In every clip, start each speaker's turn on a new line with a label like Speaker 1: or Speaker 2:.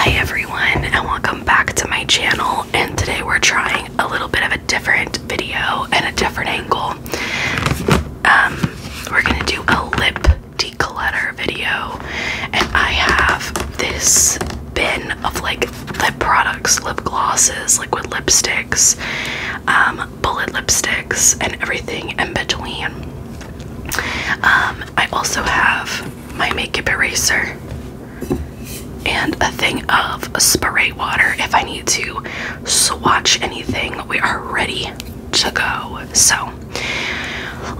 Speaker 1: Hi everyone and welcome back to my channel and today we're trying a little bit of a different video and a different angle. Um, we're gonna do a lip declutter video and I have this bin of like lip products, lip glosses, liquid lipsticks, um, bullet lipsticks and everything in between. Um, I also have my makeup eraser and a thing of spray water if I need to swatch anything. We are ready to go. So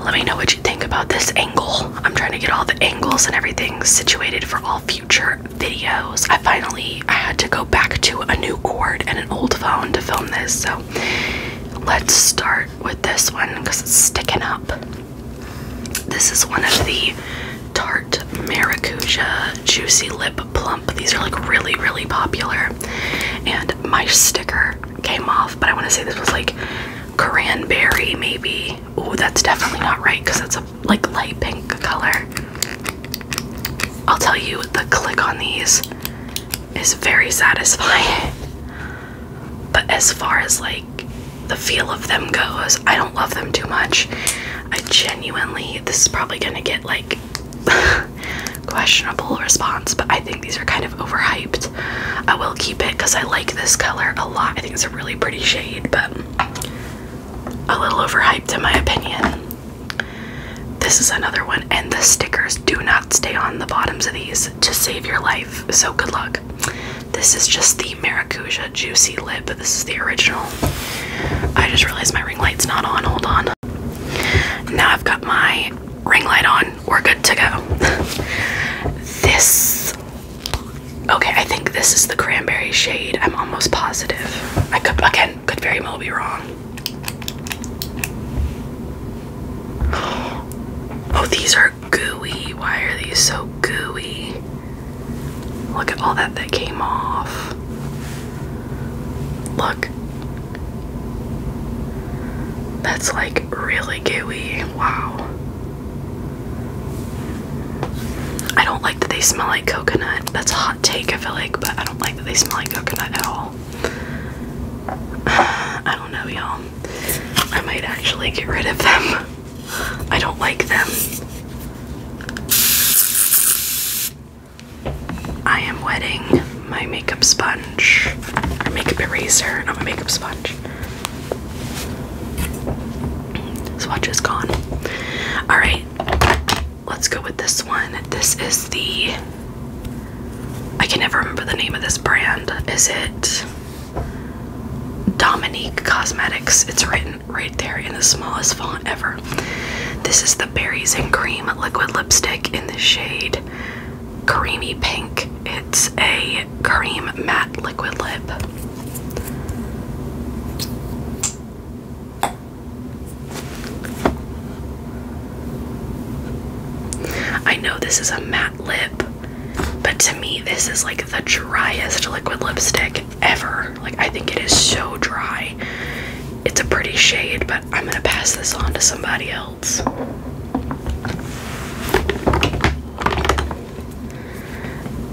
Speaker 1: let me know what you think about this angle. I'm trying to get all the angles and everything situated for all future videos. I finally I had to go back to a new cord and an old phone to film this. So let's start with this one because it's sticking up. This is one of the Tarte Maracuja Juicy Lip Plump. These are like really, really popular. And my sticker came off, but I want to say this was like cranberry, maybe. Oh, that's definitely not right because that's a like light pink color. I'll tell you, the click on these is very satisfying. But as far as like the feel of them goes, I don't love them too much. I genuinely, this is probably gonna get like questionable response, but I think these are kind of overhyped. I will keep it because I like this color a lot. I think it's a really pretty shade, but a little overhyped in my opinion. This is another one, and the stickers do not stay on the bottoms of these to save your life. So good luck. This is just the Maracuja Juicy Lip. This is the original. I just realized my ring light's not on. Hold on. Now I've got my ring light on. We're good to go. this. Okay, I think this is the cranberry shade. I'm almost positive. I could, again, could very well be wrong. Oh, these are gooey. Why are these so gooey? Look at all that that came off. Look. That's like really gooey. Wow. I don't like that they smell like coconut. That's hot take, I feel like, but I don't like that they smell like coconut at all. I don't know, y'all. I might actually get rid of them. I don't like them. I am wetting my makeup sponge or makeup eraser, not my makeup sponge. Swatch is gone. Alright, let's go with this one. This is the I can never remember the name of this brand. Is it Dominique Cosmetics? It's written right there in the smallest font ever. This is the Berries and Cream Liquid Lipstick in the shade Creamy Pink. It's a cream matte liquid lip. I know this is a matte lip, but to me, this is like the driest liquid lipstick ever. Like, I think it is so dry. It's a pretty shade, but I'm gonna pass this on to somebody else.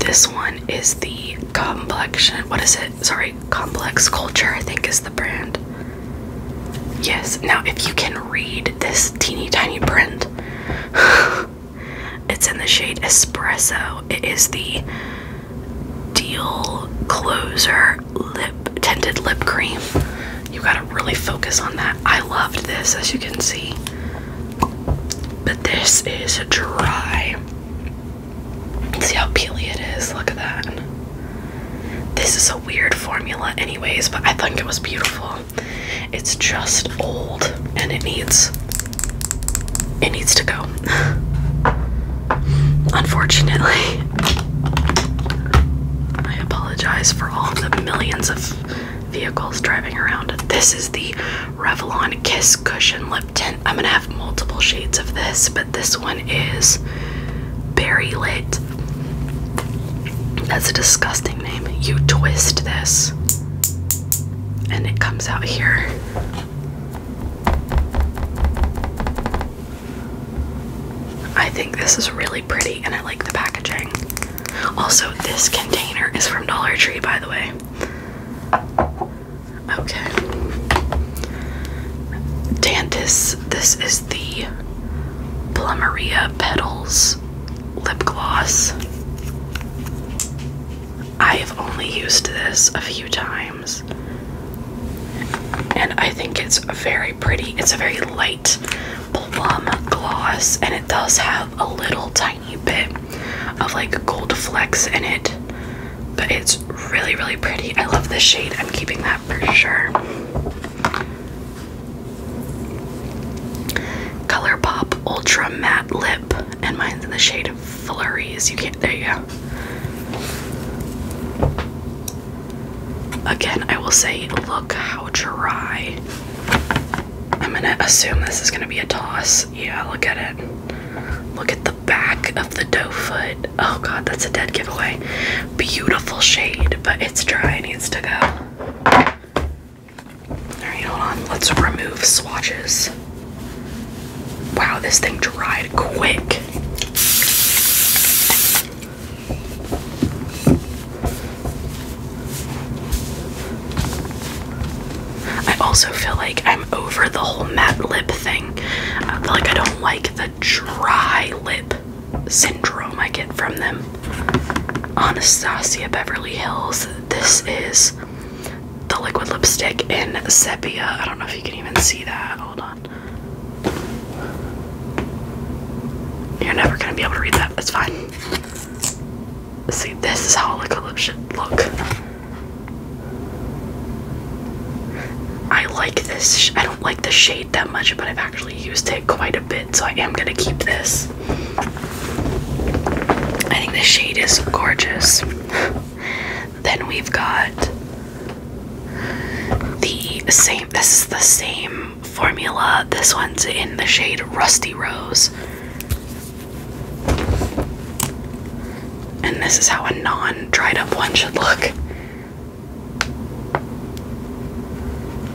Speaker 1: This one is the complexion. What is it? Sorry, complex culture, I think is the brand. Yes, now if you can read this teeny tiny print, it's in the shade Espresso. It is the Deal Closer Lip Tinted Lip Cream. You gotta really focus on that. I loved this, as you can see. But this is dry. See how peely it is? Look at that. This is a weird formula, anyways, but I think it was beautiful. It's just old and it needs it needs to go. Unfortunately. I apologize for all the millions of vehicles driving around. This is the Revlon Kiss Cushion Lip Tint. I'm gonna have multiple shades of this, but this one is Berry That's a disgusting name. You twist this, and it comes out here. I think this is really pretty, and I like the packaging. Also, this container is from Dollar Tree, by the way. Okay. Dantis this. is the Plumeria Petals lip gloss. I have only used this a few times. And I think it's very pretty. It's a very light plum gloss, and it does have a little tiny bit of like gold flecks in it. But it's really, really pretty. I love this shade. I'm keeping that for sure. ColourPop Ultra Matte Lip, and mine's in the shade of Flurries. You can't, there you go. Again, I will say, look how dry. I'm gonna assume this is gonna be a toss. Yeah, look at it. Look at the back of the doe foot. Oh god, that's a dead giveaway beautiful shade, but it's dry, needs to go. Alright, hold on. Let's remove swatches. Wow, this thing dried quick. I also feel like I'm over the whole matte lip thing. I uh, feel like I don't like the dry lip syndrome I get from them. Anastasia Beverly Hills. This is the liquid lipstick in sepia. I don't know if you can even see that. Hold on. You're never gonna be able to read that. That's fine. See, this is how liquid lip look. I like this. I like the shade that much, but I've actually used it quite a bit, so I am gonna keep this. I think the shade is gorgeous. then we've got the same, this is the same formula. This one's in the shade Rusty Rose. And this is how a non dried up one should look.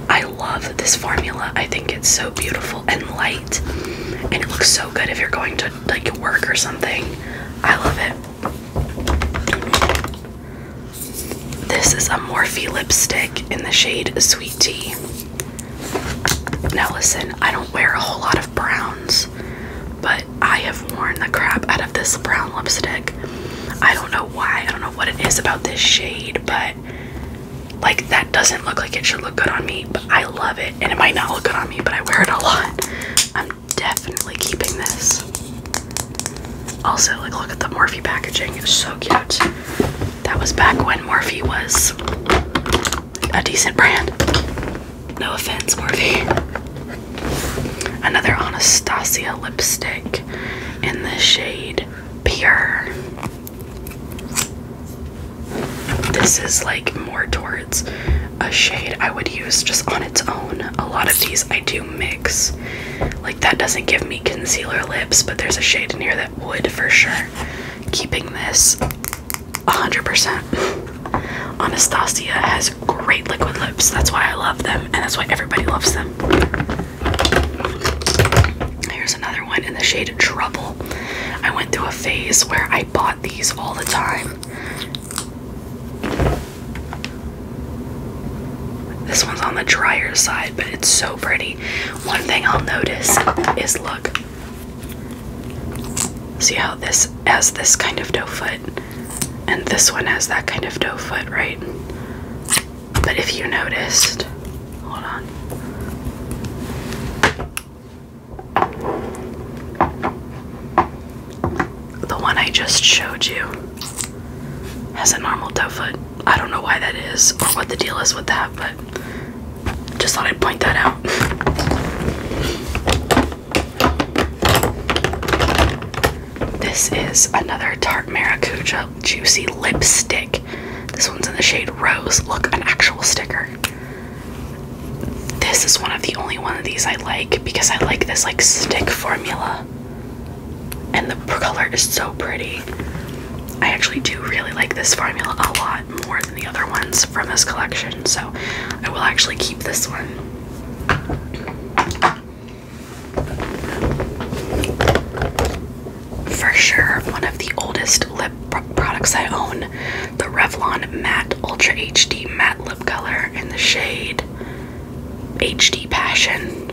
Speaker 1: I love this formula. I think it's so beautiful and light, and it looks so good if you're going to like work or something. I love it. This is a Morphe lipstick in the shade Sweet Tea. Now, listen, I don't wear a whole lot of browns, but I have worn the crap out of this brown lipstick. I don't know why. I don't know what it is about this shade, but like that doesn't look like it should look good on me, but I love it. And it might not look good on me, but I wear it a lot. I'm definitely keeping this. Also, like look at the Morphe packaging. It's so cute. That was back when Morphe was a decent brand. No offense, Morphe. Another Anastasia lipstick in the shade Pure. This is like more towards a shade I would use just on its own. A lot of these I do mix. Like that doesn't give me concealer lips, but there's a shade in here that would for sure. Keeping this 100%. Anastasia has great liquid lips. That's why I love them, and that's why everybody loves them. Here's another one in the shade Trouble. I went through a phase where I bought these all the time. This one's on the drier side, but it's so pretty. One thing I'll notice is look. See how this has this kind of doe foot? And this one has that kind of doe foot, right? But if you noticed, hold on. The one I just showed you has a normal doe foot. I don't know why that is or what the deal is with that, but just thought I'd point that out. This is another Tart Maracuja Juicy Lipstick. This one's in the shade Rose. Look, an actual sticker. This is one of the only one of these I like because I like this like stick formula. And the color is so pretty. I actually do really like this formula a lot more than the other ones from this collection, so I will actually keep this one. For sure, one of the oldest lip products I own the Revlon Matte Ultra HD Matte Lip Color in the shade HD Passion.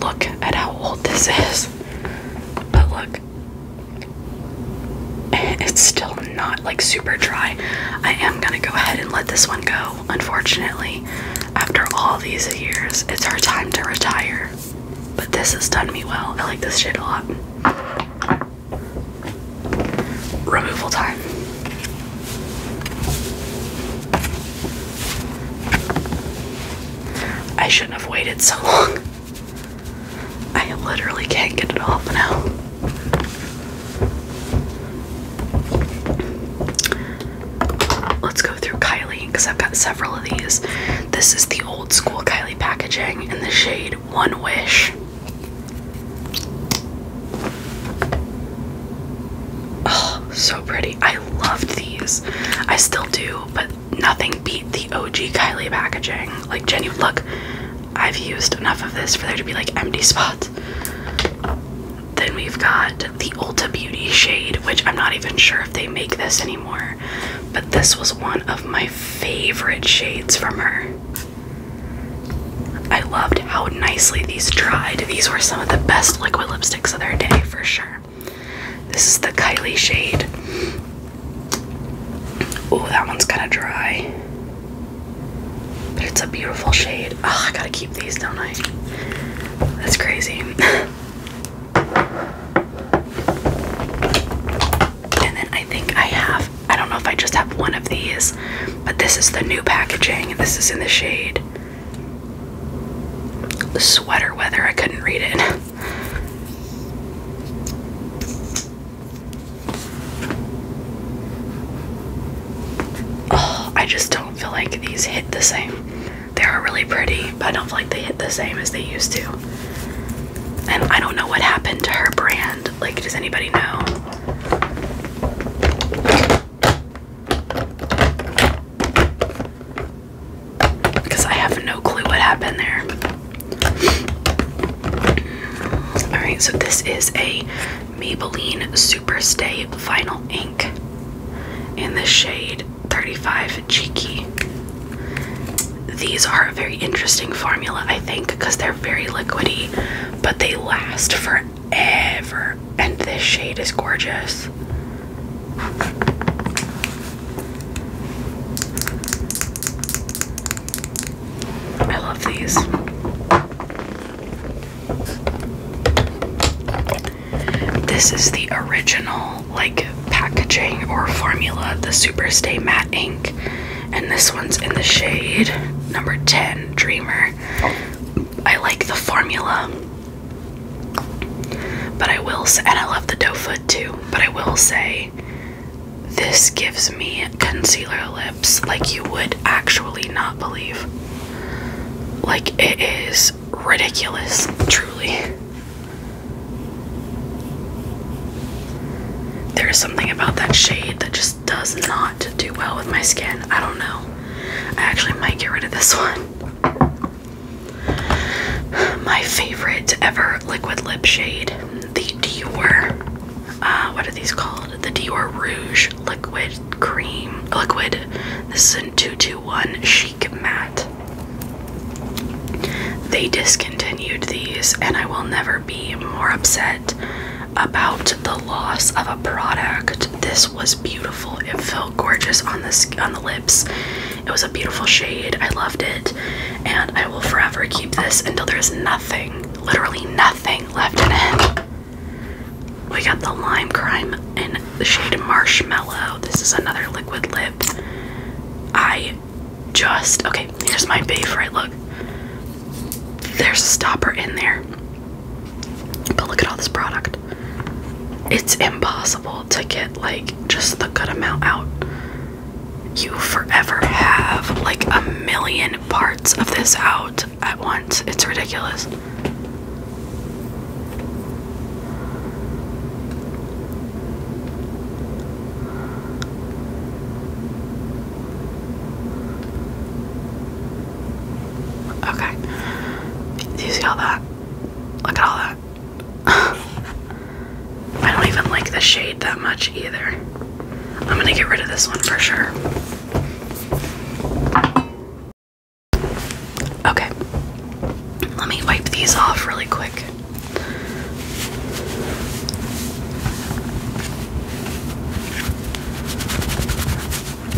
Speaker 1: Look at how old this is. But look, it's still not like super dry. I am gonna go ahead and let this one go, unfortunately. After all these years, it's our time to retire. But this has done me well. I like this shade a lot. Removal time. I shouldn't have waited so long. I literally can't get it off now. Let's go through Kylie because I've got several of these. This is the old school Kylie packaging in the shade One Wish. Oh, so pretty. I loved these. I still do, but nothing beat the OG Kylie packaging. Like, genuine look, I've used enough of this for there to be like empty spots. Then we've got the Ulta Beauty shade, which I'm not even sure if they make this anymore, but this was one of my favorite shades from her. I loved how nicely these dried. These were some of the best liquid lipsticks of their day for sure. This is the Kylie shade. Oh, that one's kind of dry. But it's a beautiful shade. Oh, I gotta keep these, don't I? That's crazy. and then I think I have, I don't know if I just have one of these, but this is the new packaging. This is in the shade Sweater Weather. I couldn't read it. Oh, I just don't feel like these hit the same. They are really pretty, but I don't feel like they hit the same as they used to. And I don't know what happened to her brand. Like, does anybody know? Because I have no clue what happened there. Alright, so this is a Maybelline Superstay Vinyl Ink in the shade 35 Cheeky. These are a very interesting formula, I think, because they're very liquidy, but they last forever. And this shade is gorgeous. I love these. This is the original, like, packaging or formula, the Superstay Matte Ink. And this one's in the shade number 10, Dreamer. I like the formula. But I will and I love the doe foot too, but I will say this gives me concealer lips like you would actually not believe. Like, it is ridiculous, truly. There is something about that shade that just does not do well with my skin. I don't know. I actually might get rid of this one. My favorite ever liquid lip shade, the Dior. Uh, what are these called? the Dior Rouge Liquid Cream Liquid. This is a 221 Chic Matte. They discontinued these, and I will never be more upset about the loss of a product. This was beautiful. It felt gorgeous on the on the lips. It was a beautiful shade. I loved it, and I will forever keep this until there's nothing literally nothing left in it. We got the lime crime in the shade marshmallow. This is another liquid lip. I just okay, here's my favorite. Look, there's a stopper in there. But look at all this product. It's impossible to get like just the good amount out you forever have like a million parts of this out at once. It's ridiculous. Okay. Do you see all that? Look at all that. I don't even like the shade that much either. I'm gonna get rid of this one for sure. Okay, let me wipe these off really quick.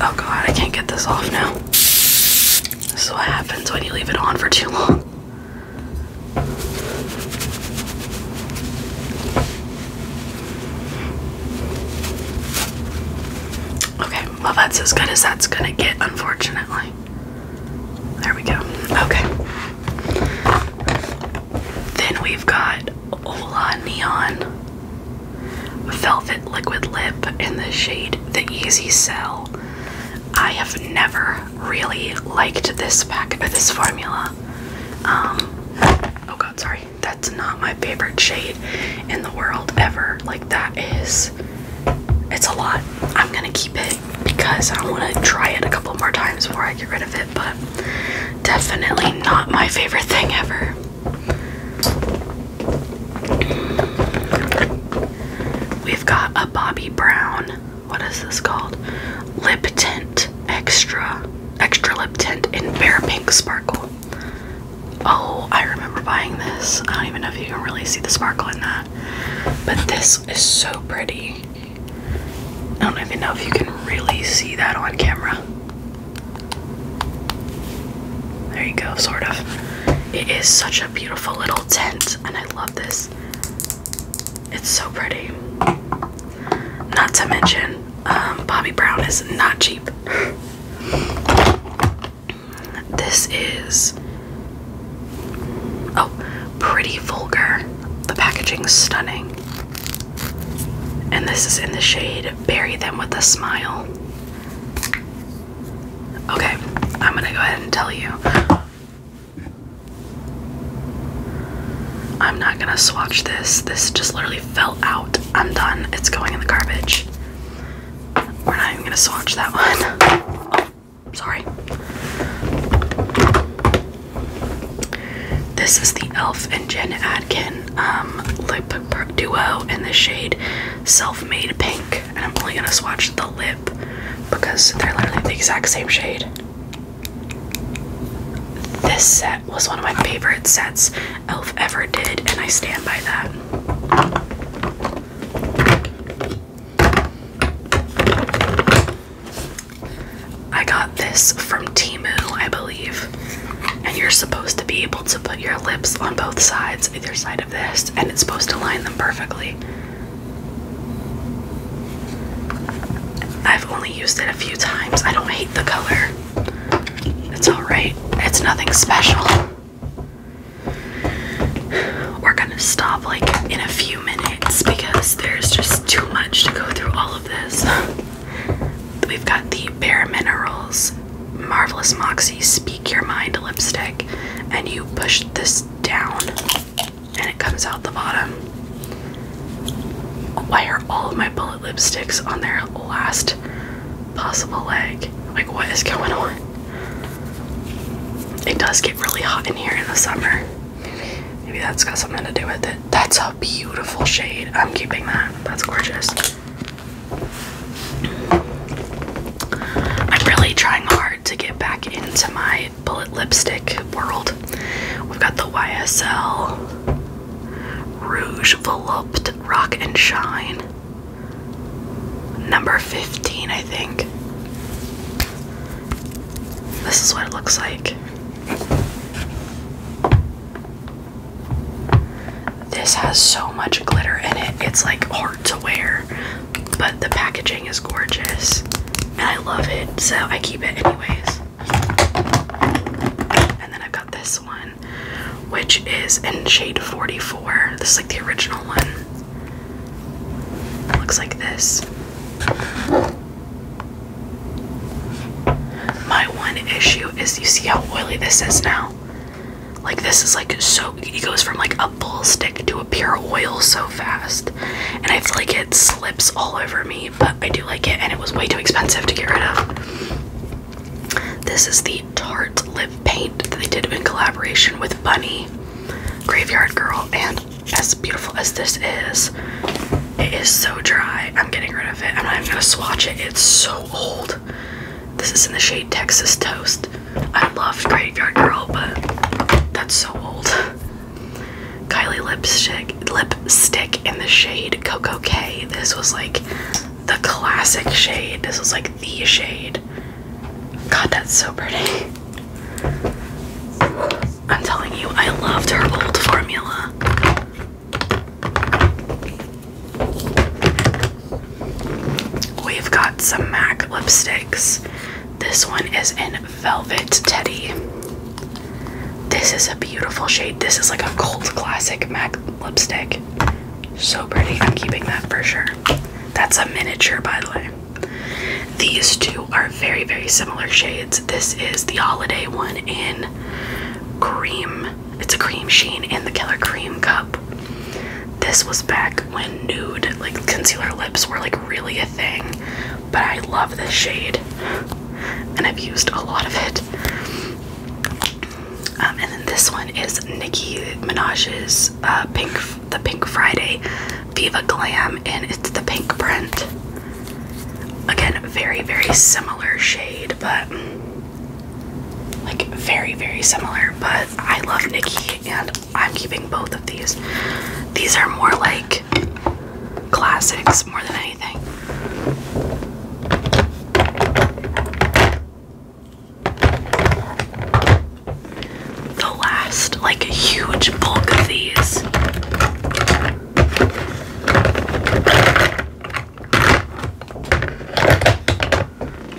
Speaker 1: Oh god, I can't get this off now. This is what happens when you leave it on for too long. Okay, well, that's as good as that's gonna get, unfortunately. There we go. Okay. Then we've got Ola Neon Velvet Liquid Lip in the shade The Easy Sell. I have never really liked this pack, or this formula. Um, oh god, sorry. That's not my favorite shade in the world ever. Like, that is, it's a lot. I'm gonna keep it because I want to try it a couple more times before I get rid of it, but definitely not my favorite thing ever. We've got a Bobbi Brown what is this called? Lip Tint Extra. Extra Lip Tint in Bare Pink Sparkle. Oh, I remember buying this. I don't even know if you can really see the sparkle in that. But this is so pretty. I don't even know if you can really see that on camera. There you go, sort of. It is such a beautiful little tint, and I love this. It's so pretty. Not to mention, um, Bobby Brown is not cheap. this is oh, pretty vulgar. The packaging's stunning. And this is in the shade Bury Them with a Smile. Okay, I'm gonna go ahead and tell you I'm not gonna swatch this. This just literally fell out. I'm done. It's going in the garbage. We're not even gonna swatch that one. sorry. This is the e.l.f. and Jen Adkin um, lip duo in the shade Self Made Pink. And I'm only gonna swatch the lip because they're literally the exact same shade. This set was one of my favorite sets Elf ever did, and I stand by that. I got this from Timu, I believe. And you're supposed to be able to put your lips on both sides, either side of this, and it's supposed to line them perfectly. I've only used it a few times. I don't hate the color. It's alright, it's nothing special. We're gonna stop like in a few minutes because there's just too much to go through all of this. We've got the Bare Minerals Marvelous Moxie Speak Your Mind lipstick, and you push this down and it comes out the bottom. Why are all of my bullet lipsticks on their last possible leg? Like, what is going on? It does get really hot in here in the summer. Maybe that's got something to do with it. That's a beautiful shade. I'm keeping that. That's gorgeous. I'm really trying hard to get back into my bullet lipstick world. We've got the YSL Rouge Volupte Rock and Shine. Number 15, I think. This is what it looks like. This has so much glitter in it, it's like hard to wear, but the packaging is gorgeous and I love it, so I keep it anyways. And then I've got this one, which is in shade 44. This is like the original one. It looks like this. My one issue is you see how oily this is now? Like this is like so it goes from like a bull stick to a pure oil so fast. And it's like it slips all over me but I do like it, and it was way too expensive to get rid of. This is the Tarte lip paint that they did in collaboration with Bunny, Graveyard Girl, and as beautiful as this is, it is so dry. I'm getting rid of it. I'm not even gonna swatch it. It's so old. This is in the shade Texas Toast. I loved Graveyard Girl, but that's so old. Kylie lipstick lipstick in the shade Coco K. This was like the classic shade. This was like the shade. God, that's so pretty. I'm telling you, I loved her old formula. We've got some MAC lipsticks. This one is in Velvet Teddy. This is a beautiful shade. This is like a cult classic MAC lipstick. So pretty. I'm keeping that for sure. That's a miniature, by the way. These two are very, very similar shades. This is the holiday one in cream. It's a cream sheen in the Killer Cream Cup. This was back when nude, like concealer lips were like really a thing but I love this shade and I've used a lot of it. Um, and then this one is Nicki Minaj's uh, Pink, the Pink Friday Viva Glam, and it's the pink print. Again, very, very similar shade, but like very, very similar. But I love Nicki, and I'm keeping both of these. These are more like classics more than anything. The last, like a huge bulk of these.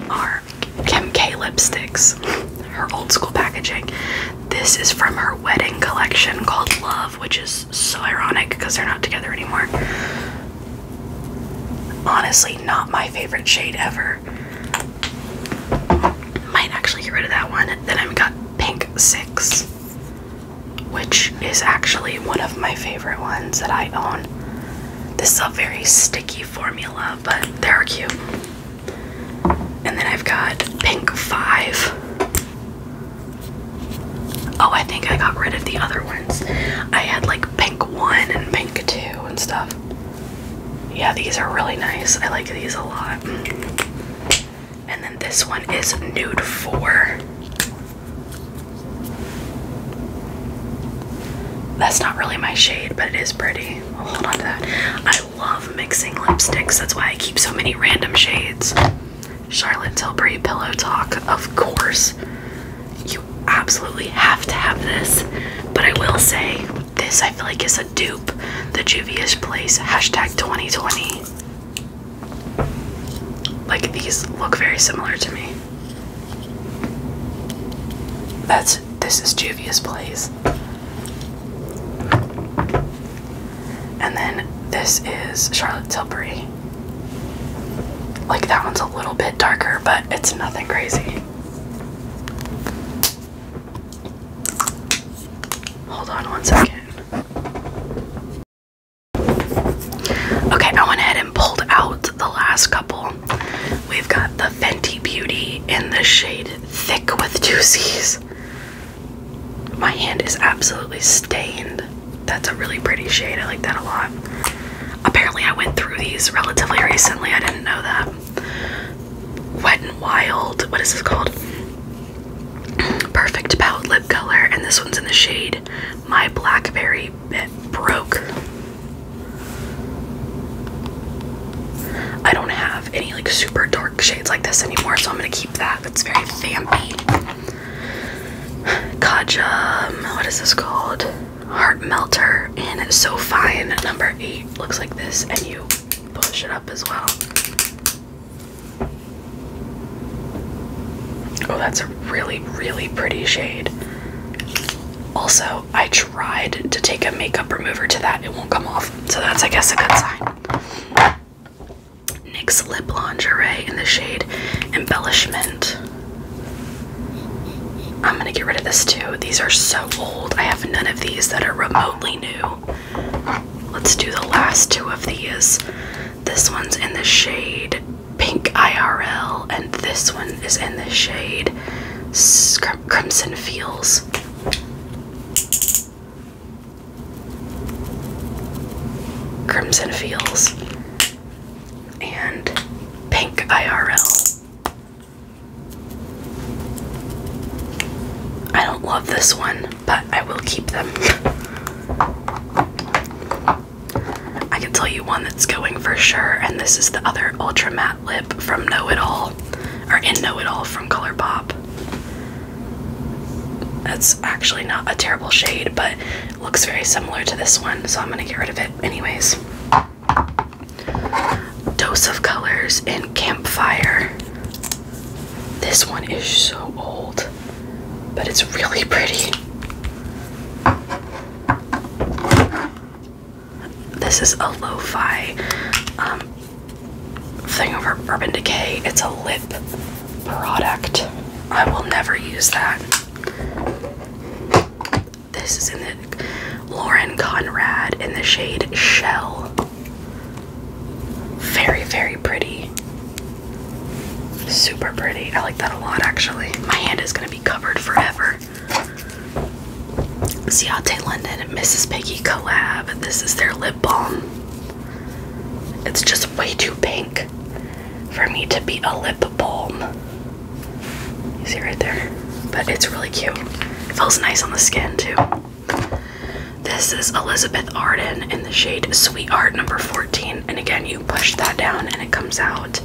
Speaker 1: Are Kim K lipsticks, her old school packaging. This is from her wedding collection called Love, which is so ironic because they're not together anymore. Honestly, not my favorite shade ever. Might actually get rid of that one. Then I've got Pink 6, which is actually one of my favorite ones that I own. This is a very sticky formula, but they're cute. And then I've got pink five. Oh, I think I got rid of the other ones. I had like pink one and pink two and stuff. Yeah, these are really nice. I like these a lot. And then this one is nude four. That's not really my shade, but it is pretty. hold on to that. I love mixing lipsticks. That's why I keep so many random shades. Charlotte Tilbury Pillow Talk, of course. You absolutely have to have this. But I will say, this I feel like is a dupe. The Juvia's Place hashtag 2020. Like these look very similar to me. That's this is Juvia's Place. And then this is Charlotte Tilbury. Like that one's a little bit darker, but it's nothing crazy. Hold on one second. Okay, I went ahead and pulled out the last couple. We've got the Fenty Beauty in the shade Thick with Two C's. My hand is absolutely stained. That's a really pretty shade. I like that a lot. Apparently, I went through these relatively recently. I didn't know that. Wet and Wild. What is this called? Perfect palette lip color, and this one's in the shade My Blackberry Bit Broke. I don't have any like super dark shades like this anymore, so I'm gonna keep that. It's very vampy. Kaja, um, what is this called? Heart Melter and it's So Fine number eight looks like this, and you push it up as well. Oh, that's a really, really pretty shade. Also, I tried to take a makeup remover to that, it won't come off. So that's, I guess, a good sign. NYX Lip Lingerie in the shade Embellishment. I'm gonna get rid of this too. These are so old. I have none of these that are remotely new. Let's do the last two of these. This one's in the shade Pink IRL, and this one is in the shade Crimson Feels. Crimson feels and Pink IRL. I don't love this one, but I will keep them. I can tell you one that's going for sure, and this is the other Ultra Matte Lip from Know It All or in Know It All from ColourPop. That's actually not a terrible shade, but looks very similar to this one, so I'm gonna get rid of it anyways. Dose of Colors in Campfire. This one is so old, but it's really pretty. This is a lo thing over Urban Decay. It's a lip product. I will never use that. This is in the Lauren Conrad in the shade Shell. Very, very pretty. Super pretty. I like that a lot actually. My hand is going to be covered forever. Ciate London and Mrs. Piggy collab. This is their lip balm. It's just way too pink for me to be a lip balm. see right there? But it's really cute. It feels nice on the skin too. This is Elizabeth Arden in the shade Sweetheart number 14. And again, you push that down and it comes out.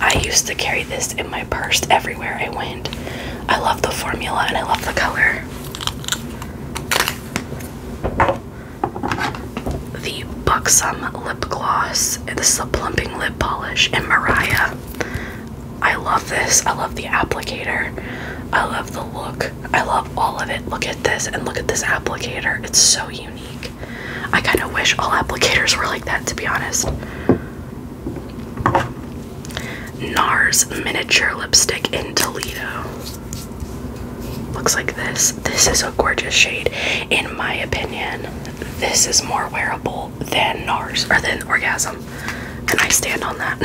Speaker 1: I used to carry this in my purse everywhere I went. I love the formula and I love the color the Buxom lip gloss. This is a plumping lip polish. And Mariah. I love this. I love the applicator. I love the look. I love all of it. Look at this and look at this applicator. It's so unique. I kind of wish all applicators were like that, to be honest. NARS Miniature Lipstick in Toledo. Looks like this. This is a gorgeous shade. In my opinion, this is more wearable than NARS or than Orgasm. And I stand on that.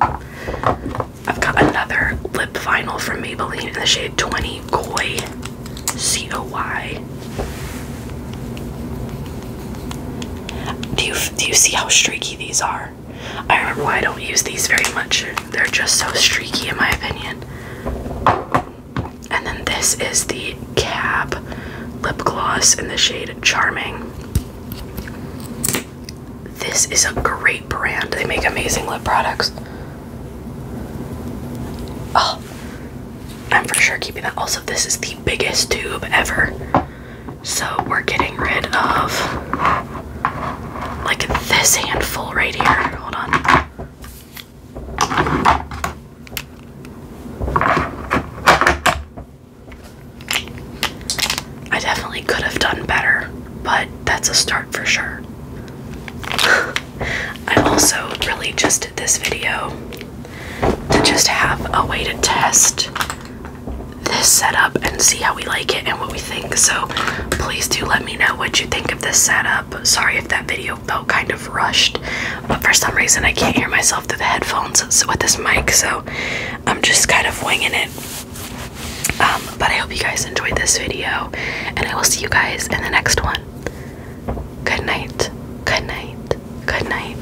Speaker 1: I've got another lip vinyl from Maybelline in the shade 20 Koi. C O Y. Do you do you see how streaky these are? I remember I don't use these very much. They're just so streaky in my opinion. And then this is the Cab lip gloss in the shade Charming. This is a great brand. They make amazing lip products. Oh, I'm for sure keeping that. Also, this is the biggest tube ever. So we're getting rid of like this handful right here. Hold on. I definitely could have done better, but that's a start for sure. I also really just did this video to just have a way to test this setup and see how we like it and what we think. So please do let me know what you think of this setup. Sorry if that video felt kind of rushed, but for some reason I can't hear myself through the headphones with this mic, so I'm just kind of winging it. Um, but I hope you guys enjoyed this video, and I will see you guys in the next one. Good night, good night, good night.